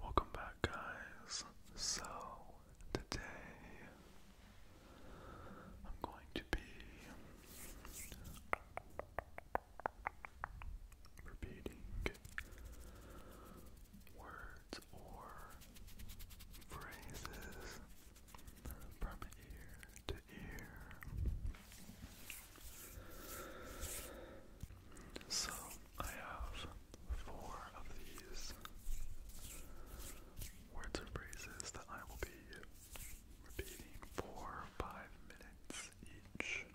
Welcome back, guys. So, today I'm going to be repeating words or phrases from ear to ear. So I have four of these words and phrases that I will be repeating for five minutes each.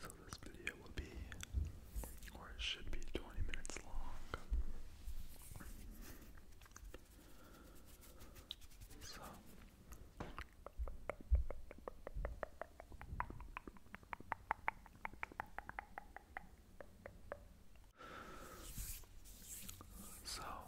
So this video will be, or it should be, 20 minutes long. So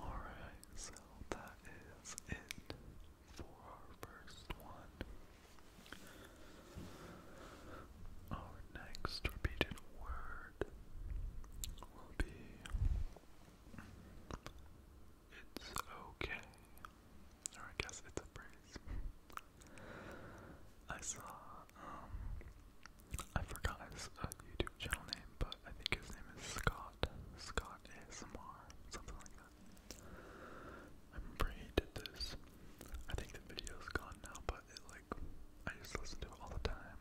Alright, so that is it for our first one. Our next repeated word will be It's okay. Or I guess it's a praise. I saw, um, I forgot his uh, YouTube channel name, but I think his name is Scott, Scott ASMR, something like that. I remember he did this. I think the video's gone now, but it like I used to listen to it all the time.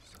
So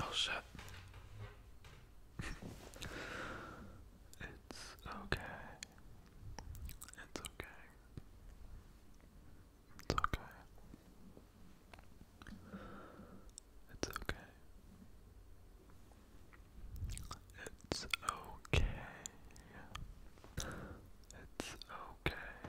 Oh shit. it's okay. It's okay. It's okay. It's okay. It's okay. It's okay.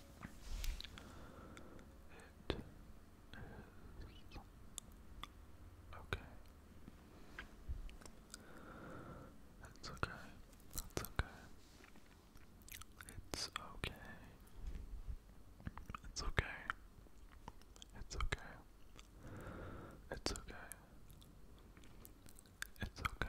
It is okay. That's okay. That's okay. It's okay. It's okay. It's okay. It's okay. It's okay.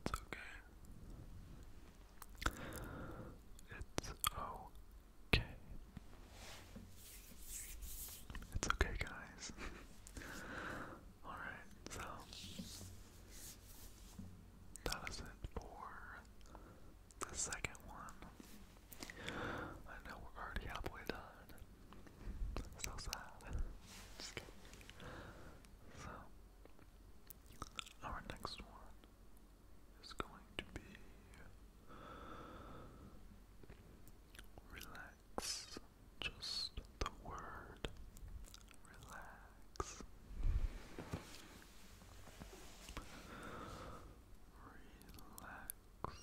It's okay. It's okay. It's okay, guys. Alright, so that is it for the second one. I know we're already halfway done, so sad. Just kidding. So, our next one is going to be relax. Just the word relax. Relax. Relax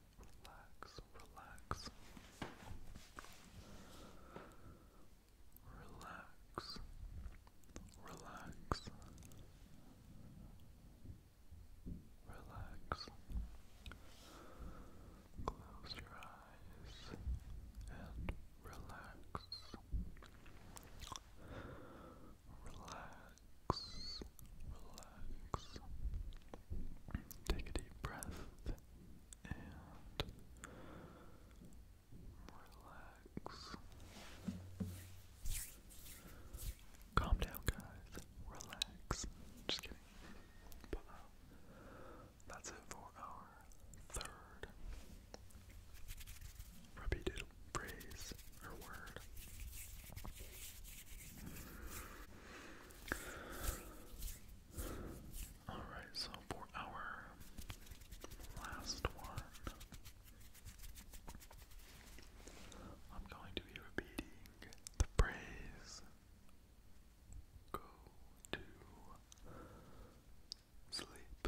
relax, relax, relax, relax, relax. Close your eyes and relax. Relax, relax. Take a deep breath relax. Calm down, guys. Relax. Just kidding. But uh, that's it for our third repeated phrase or word. Alright, so for our last one, I'm going to be repeating the phrase go to sleep.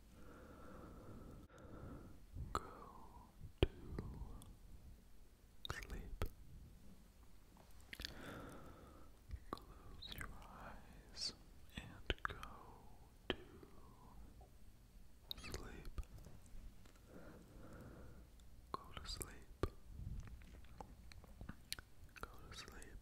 Go to sleep. Close your eyes and go to sleep. Go to sleep. Go to sleep.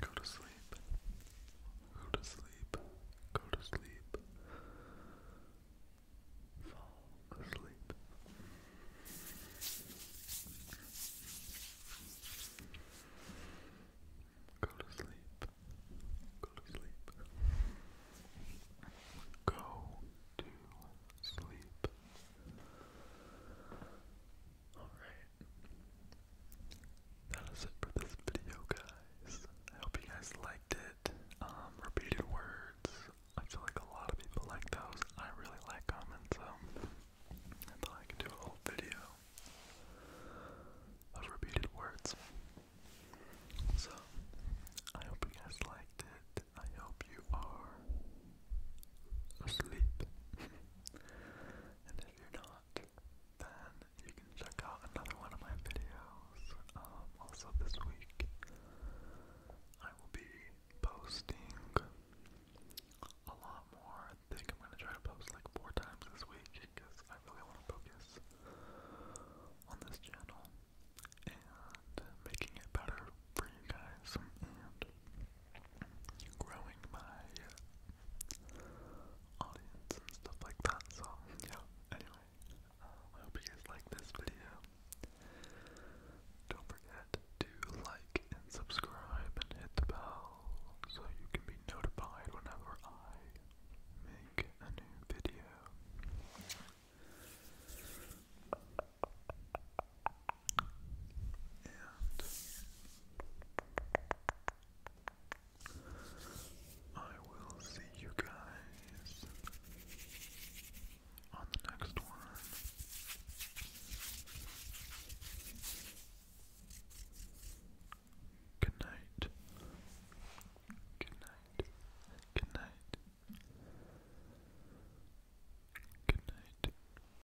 Go to sleep. Go to sleep. Go to sleep. Fall asleep. Go to sleep. Go to sleep. Go to sleep. Alright. That is it for this video, guys. I hope you guys liked it. Um, repeated words. I feel like a lot of people like those. I really like them, so I thought I could do a whole video of repeated words. So, I hope you guys liked it. I hope you are asleep. If you're not, then you can check out another one of my videos. Um, also this week, I will be posting a lot more. I think I'm gonna try to post like four times this week because I really want to focus on this channel and making it better for you guys growing my audience and stuff like that. So yeah. Anyway, um, I hope you guys like this video. Don't forget to like and subscribe and hit the bell so you can be notified whenever I make a new video. I will see you guys on the next one. Good night. Good night. Good night. Good night.